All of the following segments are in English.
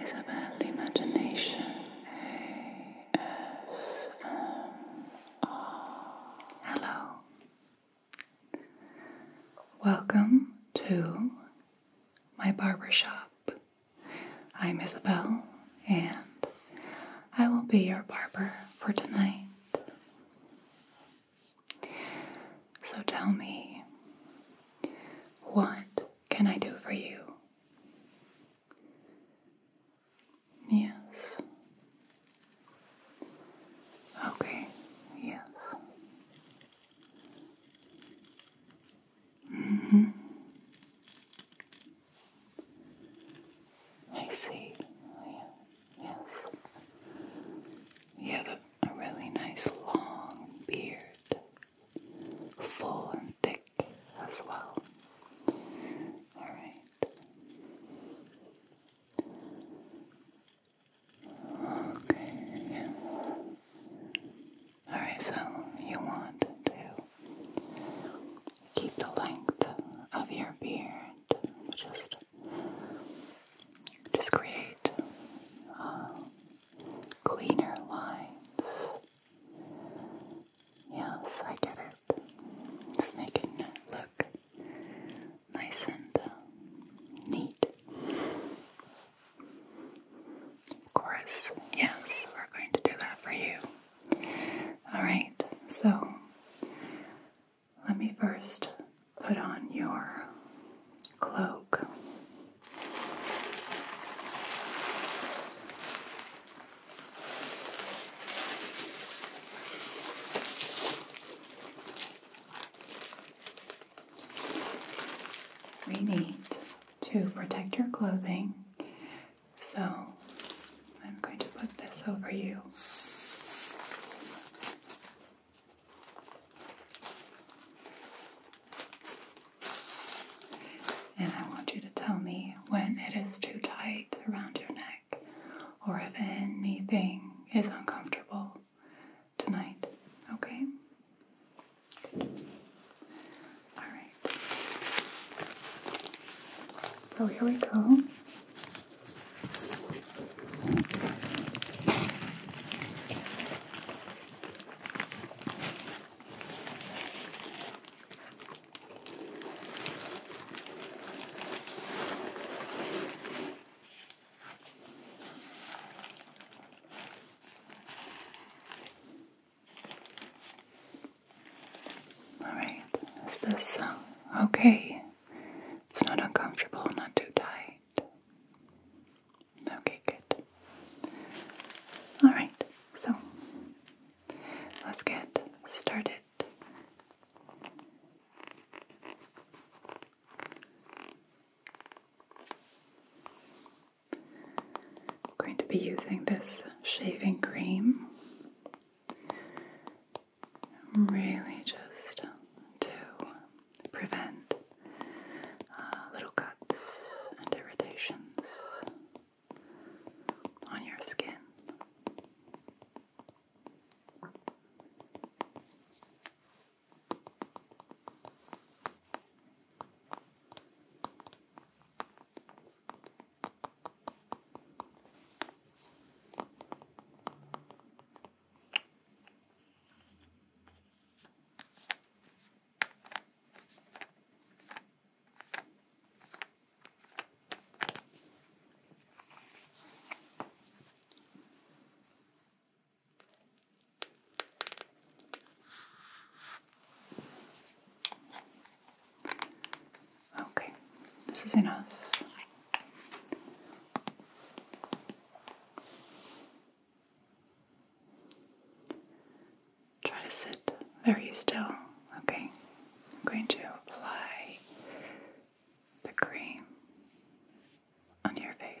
Isabel Imagination ASMR. Hello. Welcome to my barbershop. I'm Isabel and I will be your barber for tonight. So tell me, what can I do for you? Yes. Okay, yes. Mm hmm. I see. Yeah. Yes. You have a really nice long beard full and thick as well. Alright. Okay. Alright, so you want to keep the length of your beard, just, just create uh, cleaner lines. Yes, I get it. It's making it look nice and uh, neat. Of course, yes, we're going to do that for you. Alright, so let me first put on your cloak. We need to protect your clothing, so I'm going to put this over you. And I want you to tell me when it is too tight around your neck or if anything is uncomfortable tonight. Okay? All right. So here we go. Alright, is this uh, okay? It's not uncomfortable, not too tight. Okay, good. Alright, so let's get started. I'm going to be using this shaving cream. Really, just to prevent uh, little cuts and irritations on your skin. Okay, this is enough. Try to sit very still, okay? I'm going to apply the cream on your face.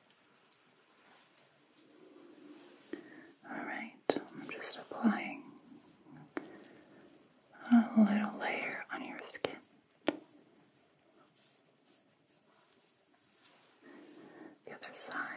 Alright, I'm just applying a little layer on your skin. The other side.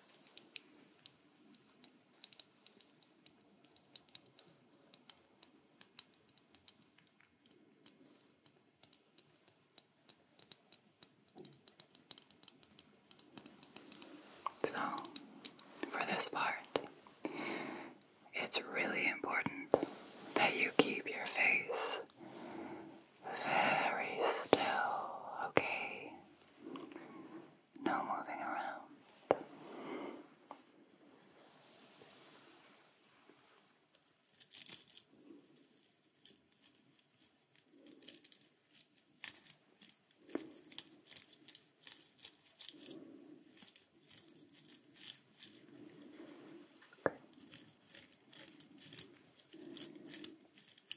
So, for this part, it's really important that you keep your face very still, okay? No moving around.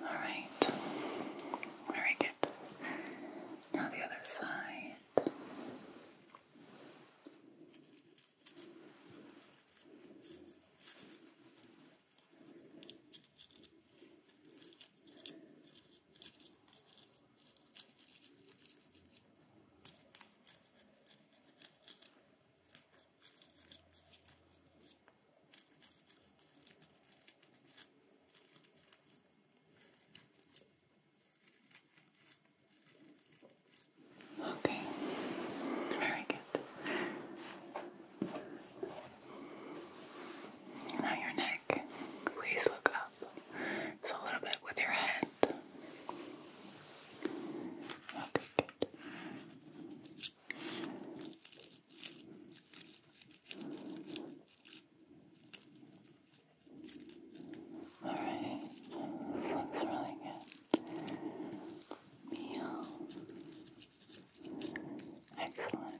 All right. Very good. Now the other side. Okay, very good. Now your neck, please look up. It's a little bit with your head. Okay, good. Alright, looks really good. Meow. Excellent.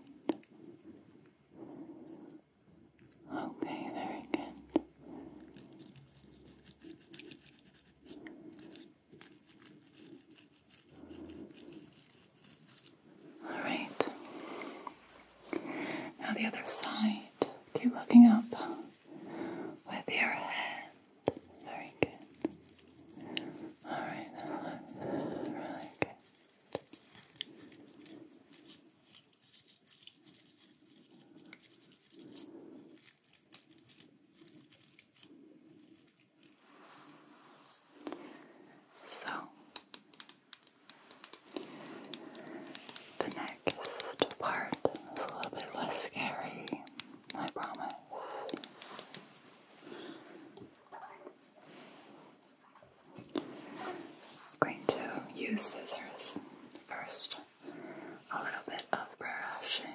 Okay, very good. All right. Now the other side. Keep looking up with your head. Very good. All right. really good. So, the next part is a little bit less scary, I promise. I'm going to use scissors first, a little bit of brushing.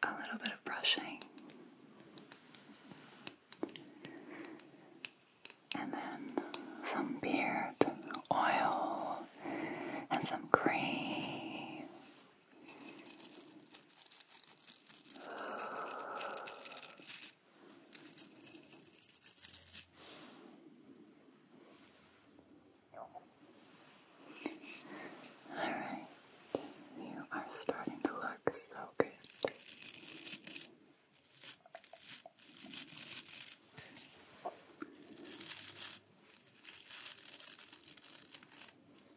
A little bit of brushing, and then some beard oil and some cream. All right, you are starting to look so good.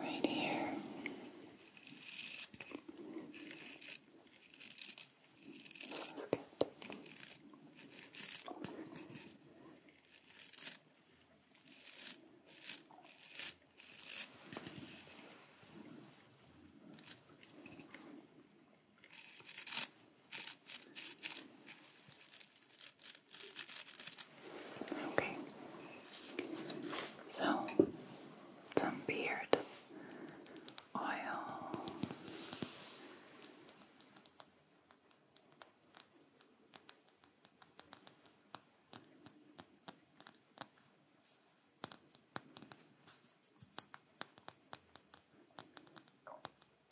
right here. This good. Okay. So, some beard oil.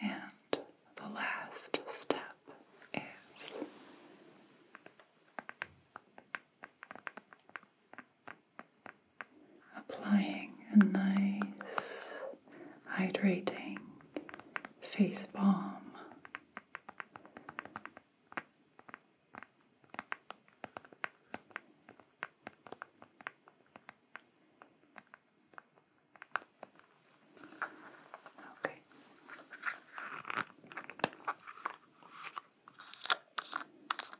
And the last step is applying a nice hydrating face balm. Okay.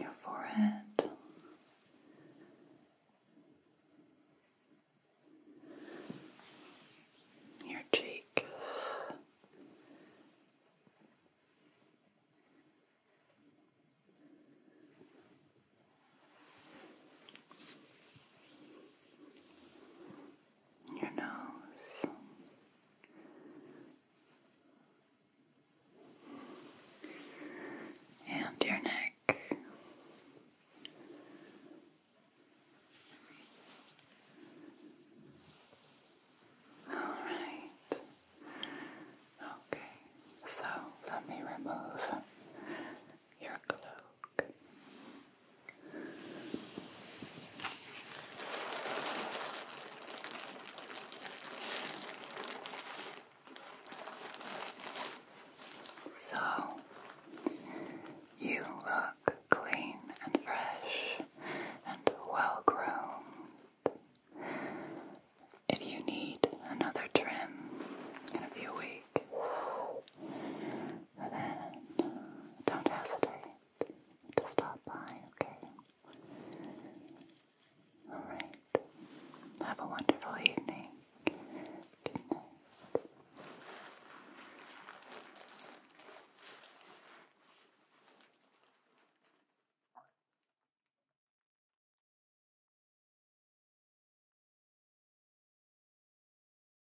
your forehead. Your cheek your nose. And your neck, all right, okay, so let me remove your cloak. So, you look clean and fresh and well groomed. If you need another trim in a few weeks, then don't hesitate to stop by, okay? Alright. Have a wonderful evening. Good night.